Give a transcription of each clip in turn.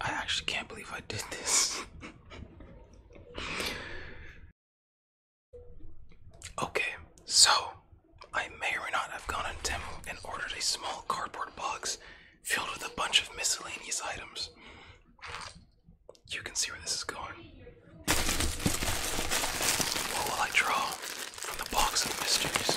I actually can't believe I did this. okay, so I may or not have gone on Temu and ordered a small cardboard box filled with a bunch of miscellaneous items. You can see where this is going. What will I draw from the box of mysteries?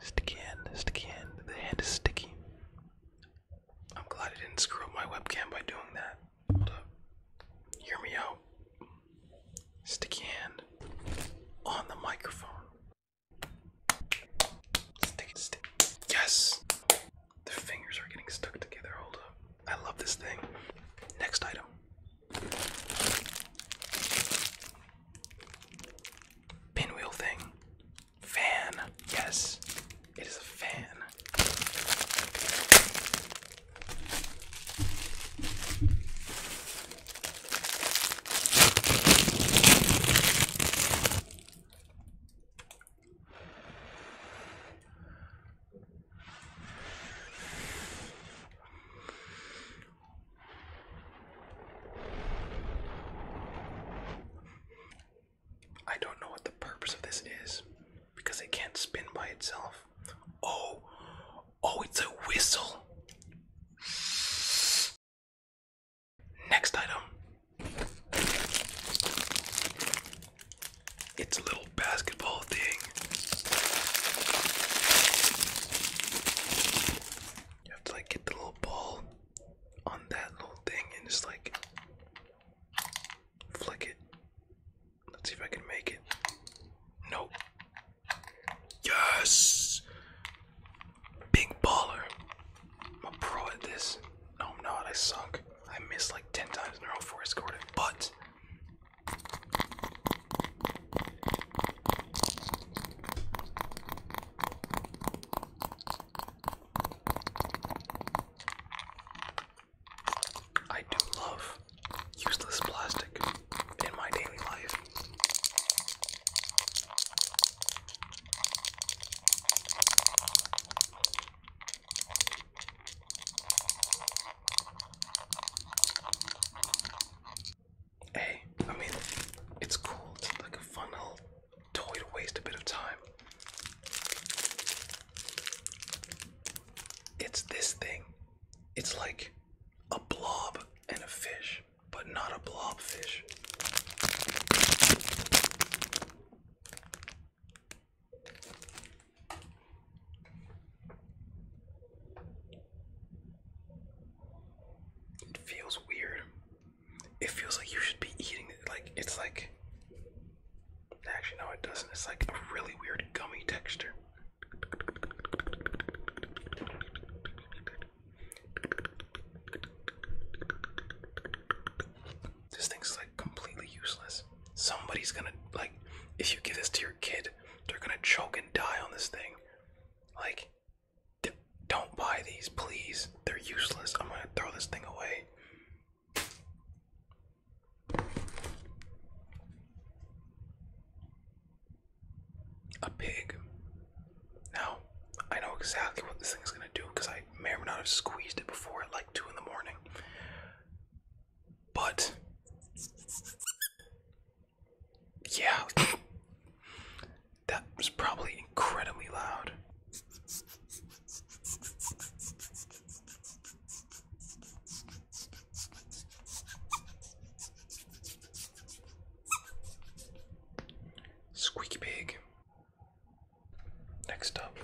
Sticky hand, sticky hand. The hand is sticky. I'm glad I didn't screw up my webcam by doing that. Hold up. Hear me out. Sticky hand on the microphone. Sticky, sticky. Yes! The fingers are getting stuck together. Hold up. I love this thing. Next item. Pinwheel thing. Fan. Yes, it is a fan. I don't know what the purpose of this is because it can't spin by itself. Oh, oh, it's a whistle. Next item. It's a little basketball thing. You have to like get the little ball on that little thing and just like flick it. Let's see if I can make it. Nope. Yes! Big baller. I'm a pro at this. No, I'm not. I sunk. I missed like 10 times in a row for a scored but. I do love useless plastic in my daily life hey, I mean, it's cool. It's like a fun little toy to waste a bit of time. It's this thing. It's like a blob and a fish, but not a blob fish. It feels weird it feels like you should be eating it. Like it's like actually no, it doesn't. It's like a really weird gummy texture. This thing's like completely useless. Somebody's gonna like if you give this to your kid, they're gonna choke and die on this thing. Like don't buy these, please. They're useless. I'm gonna throw this thing away. A pig. Now, I know exactly what this thing is gonna do because I may or not have squeezed it before at like 2 in the morning. But. Yeah. That was probably incredibly loud. Squeaky pig. Next up,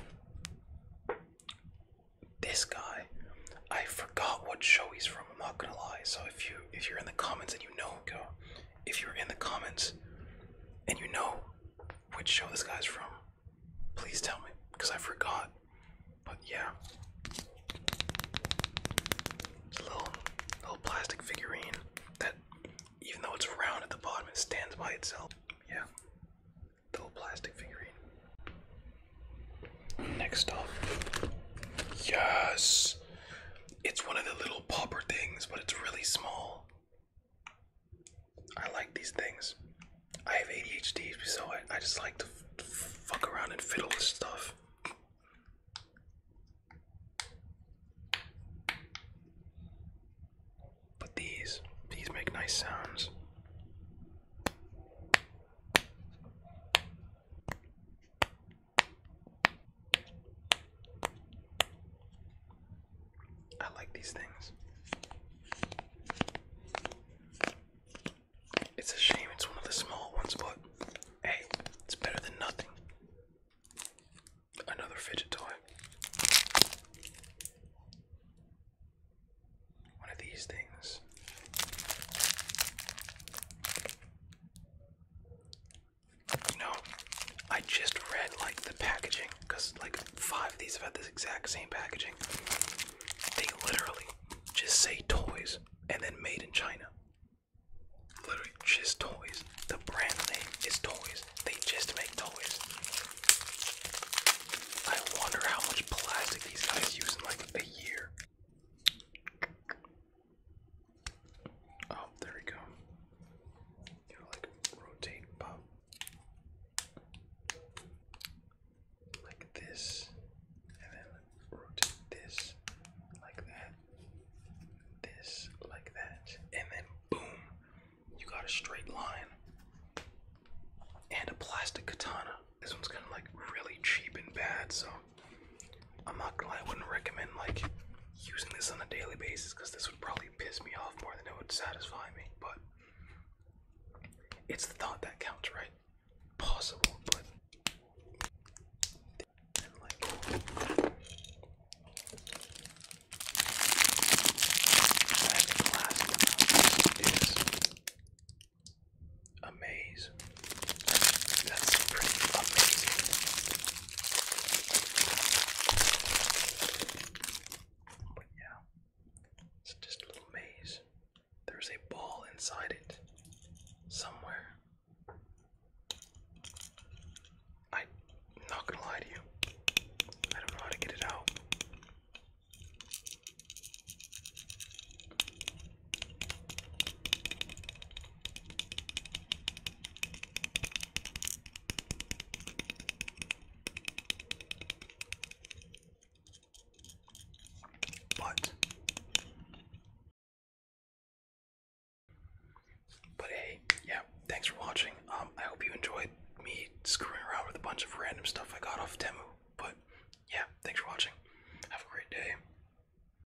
this guy. I forgot what show he's from. I'm not gonna lie. So if you if you're in the comments and you know, go if you're in the comments and you know which show this guy's from, please tell me because I forgot. But yeah, it's a little little plastic figurine that, even though it's round at the bottom, it stands by itself. Yeah, little plastic figurine. Next up, yes, it's one of the little popper things, but it's really small. I like these things. I have ADHD, so I, just like to, to fuck around and fiddle with stuff. But these, these make nice sounds. I like these things. It's a shame it's one of the small ones, but hey, it's better than nothing. Another fidget toy. One of these things you I just read like the packaging because like five of these have had this exact same packaging. They literally just say toys and then made in China. Literally just toys. The brand name is toys. They just make toys. I wonder how much plastic these guys use in like a year. Oh, there we go. You gotta like rotate pop like this, and then rotate this like that, this like that, and then boom, you got a straight line and a plastic katana. This one's kind of like really cheap and bad, so I'm not gonna lie, I wouldn't recommend like using this on a daily basis because this would probably piss me off more than it would satisfy me, but it's the thought that counts, right? Possible, but and, like Last is a that's pretty amazing. But yeah, it's just a little maze. There's a ball inside it somewhere. I'm not gonna lie to you, I don't know how to get it out. But but hey, yeah, thanks for watching. Um, I hope you enjoyed me screwing around with a bunch of random stuff I got off Temu. But yeah, thanks for watching. Have a great day.